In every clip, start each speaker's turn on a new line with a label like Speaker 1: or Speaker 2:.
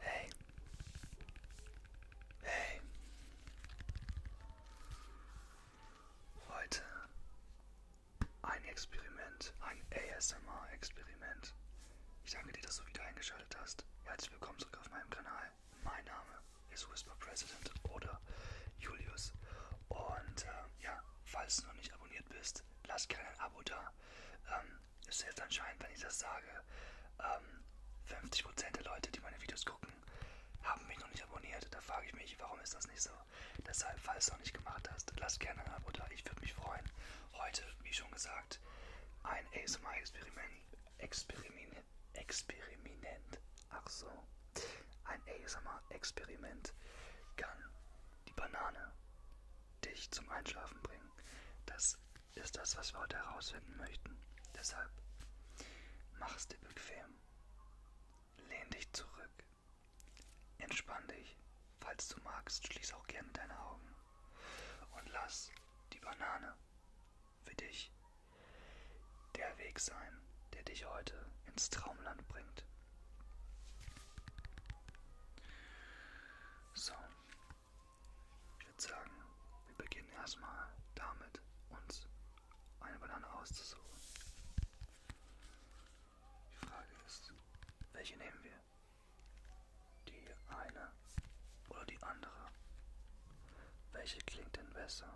Speaker 1: Hey. Hey. Heute ein Experiment, ein ASMR-Experiment. Ich danke dir, dass du wieder eingeschaltet hast. Herzlich willkommen zurück auf meinem Kanal. Mein Name ist Whisper President oder Julius. Und äh, ja, falls du noch nicht abonniert bist, ist, lasst gerne ein Abo da. Ähm, ist jetzt anscheinend, wenn ich das sage, ähm, 50% der Leute, die meine Videos gucken, haben mich noch nicht abonniert. Da frage ich mich, warum ist das nicht so? Deshalb, falls du noch nicht gemacht hast, lasst gerne ein Abo da. Ich würde mich freuen. Heute, wie schon gesagt, ein ASMR-Experiment. Experiment. Experiment. Ach so. Ein ASMR-Experiment kann die Banane dich zum Einschlafen bringen. Das ist das, was wir heute herausfinden möchten. Deshalb mach es dir bequem. Lehn dich zurück. Entspann dich. Falls du magst, schließ auch gerne deine Augen. Und lass die Banane für dich der Weg sein, der dich heute ins Traumland bringt. So, ich würde sagen, wir beginnen erstmal damit, uns eine Banane auszusuchen. Die Frage ist, welche nehmen wir? Die eine oder die andere? Welche klingt denn besser?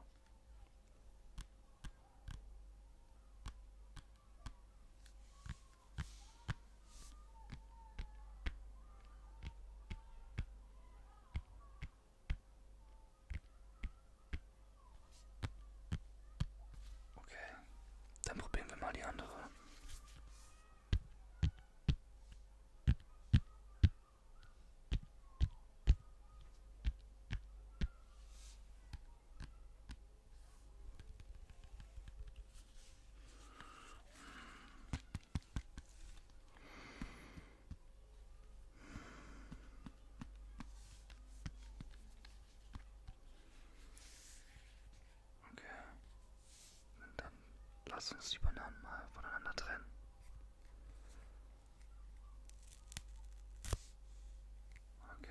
Speaker 1: Okay, dann probieren wir mal die andere. Okay. Und dann lass uns die Bananen mal voneinander trennen. Okay.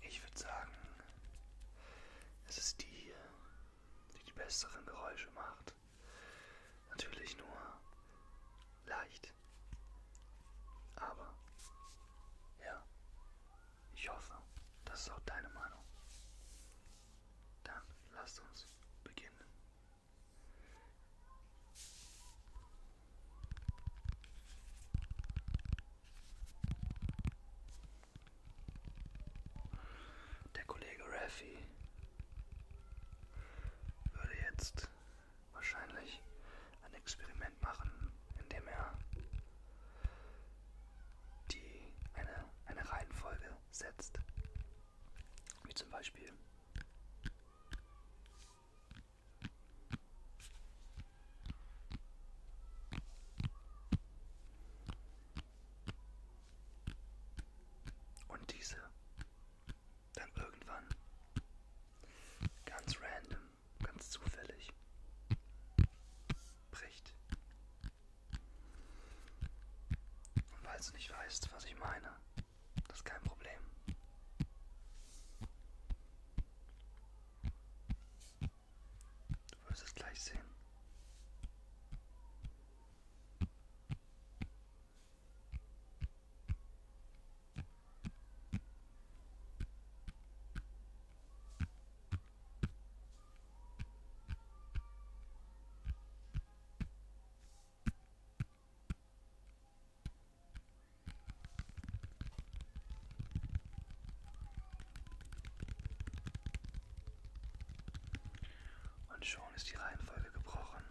Speaker 1: Ich würde sagen, es ist die hier die die besseren Geräusche macht. Natürlich nur leicht. Aber ja, ich hoffe, das ist auch deine Meinung. Dann lasst uns beginnen. Der Kollege Raffi würde jetzt wahrscheinlich ein Experiment machen, indem er die eine, eine Reihenfolge setzt. Wie zum Beispiel und diese dann irgendwann ganz random, ganz zufällig bricht. Und weil du nicht weißt, was ich meine, das ist kein Problem. Du wirst es gleich sehen. Und schon ist die Reihenfolge gebrochen.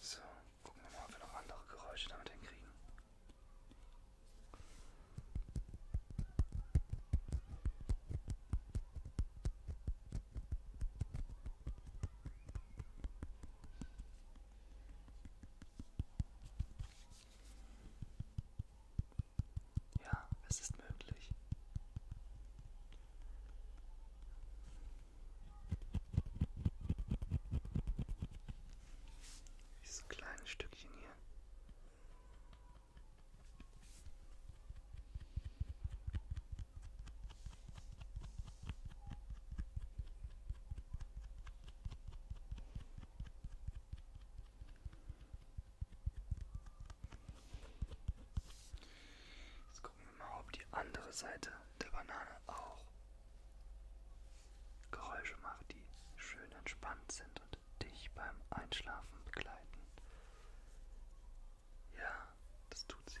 Speaker 1: So, gucken wir mal, ob wir noch andere Geräusche damit hinkriegen. Ja, es ist möglich. Dieses kleine Stückchen hier. Jetzt gucken wir mal, ob die andere Seite der Banane auch Geräusche macht, die schön entspannt sind und dich beim Einschlafen begleiten. Ja, das tut sie.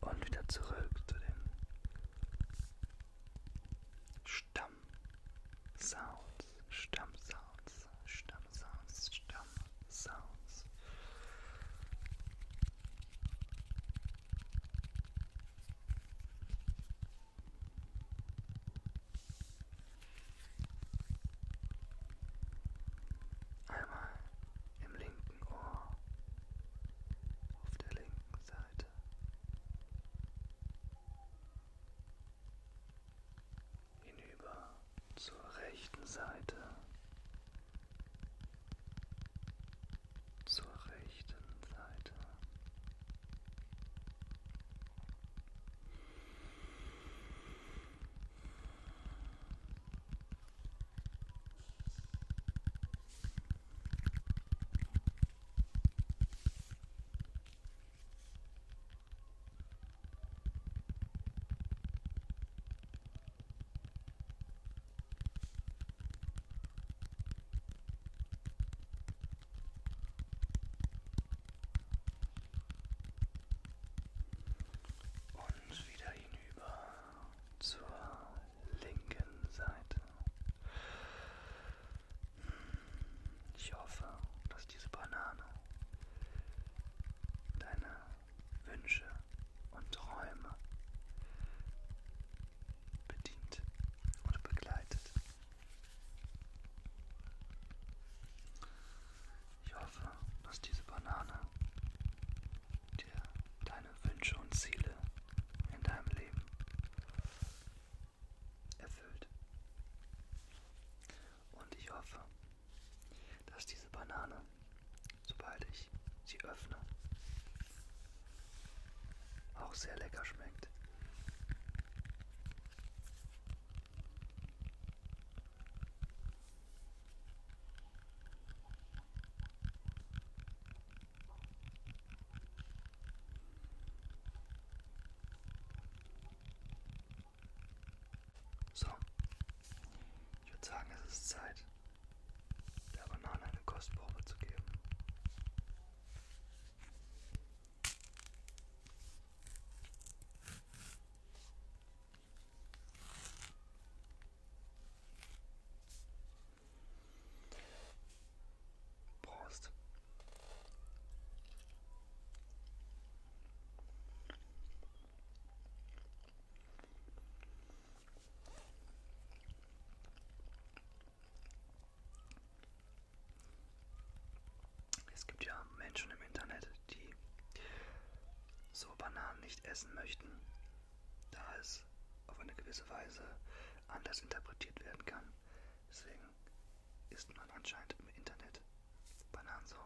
Speaker 1: Und wieder zurück zu den Stammsounds, Stammsounds, Stammsounds, Stammsounds. Einmal im linken Ohr, auf der linken Seite. Hinüber zur rechten Seite zur rechten Seite. Und wieder hinüber zur linken Seite. Ich hoffe, dass diese Banane deine Wünsche und Träume bedient und begleitet. Ich hoffe, dass diese Banane dir deine Wünsche und Ziele in deinem Leben erfüllt. Und ich hoffe, dass diese Banane, sobald ich sie öffne, auch sehr lecker schmeckt. So, ich würde sagen, es ist Zeit, der Banane eine Kostprobe zu geben. Prost. Es gibt ja Menschen im Internet, die so Bananen nicht essen möchten, da es auf eine gewisse Weise anders interpretiert werden kann. Deswegen isst man anscheinend im Internet Bananen so.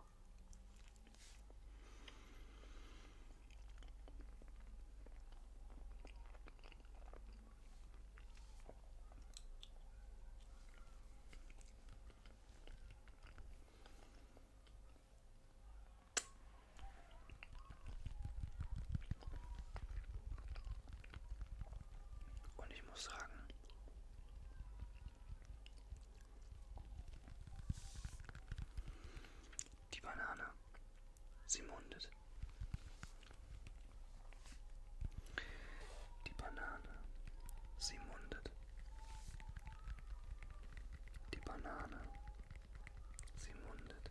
Speaker 1: Und ich muss sagen, die Banane. Sie mundet. Die Banane. Sie mundet. Die Banane. Sie mundet.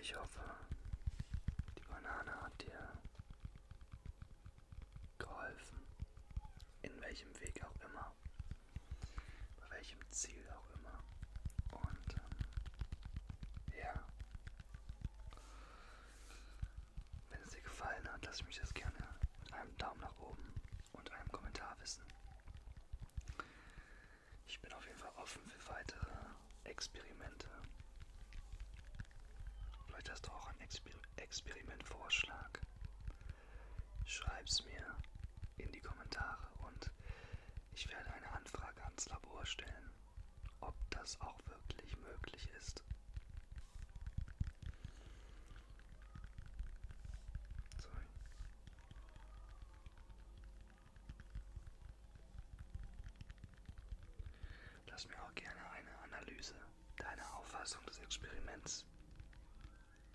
Speaker 1: Ich hoffe, die Banane hat dir geholfen, in welchem Weg auch immer, bei welchem Ziel auch immer. Und ähm, ja, wenn es dir gefallen hat, lass mich das gerne mit einem Daumen nach oben und einem Kommentar wissen. Ich bin auf jeden Fall offen für weitere Experimente. Vielleicht hast du auch einen Exper Experimentvorschlag. Schreib's mir in die Kommentare und ich werde eine Anfrage ans Labor stellen ob das auch wirklich möglich ist. Sorry. Lass mir auch gerne eine Analyse deiner Auffassung des Experiments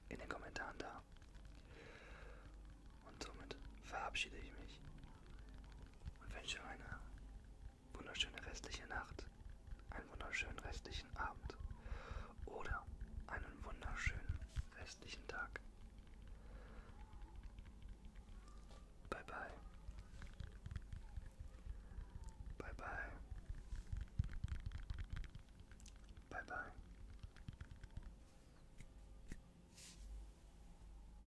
Speaker 1: in den Kommentaren da. Und somit verabschiede ich mich und wünsche eine wunderschöne restliche Nacht, einen wunderschönen restlichen Abend oder einen wunderschönen restlichen Tag. Bye bye. Bye bye. Bye bye.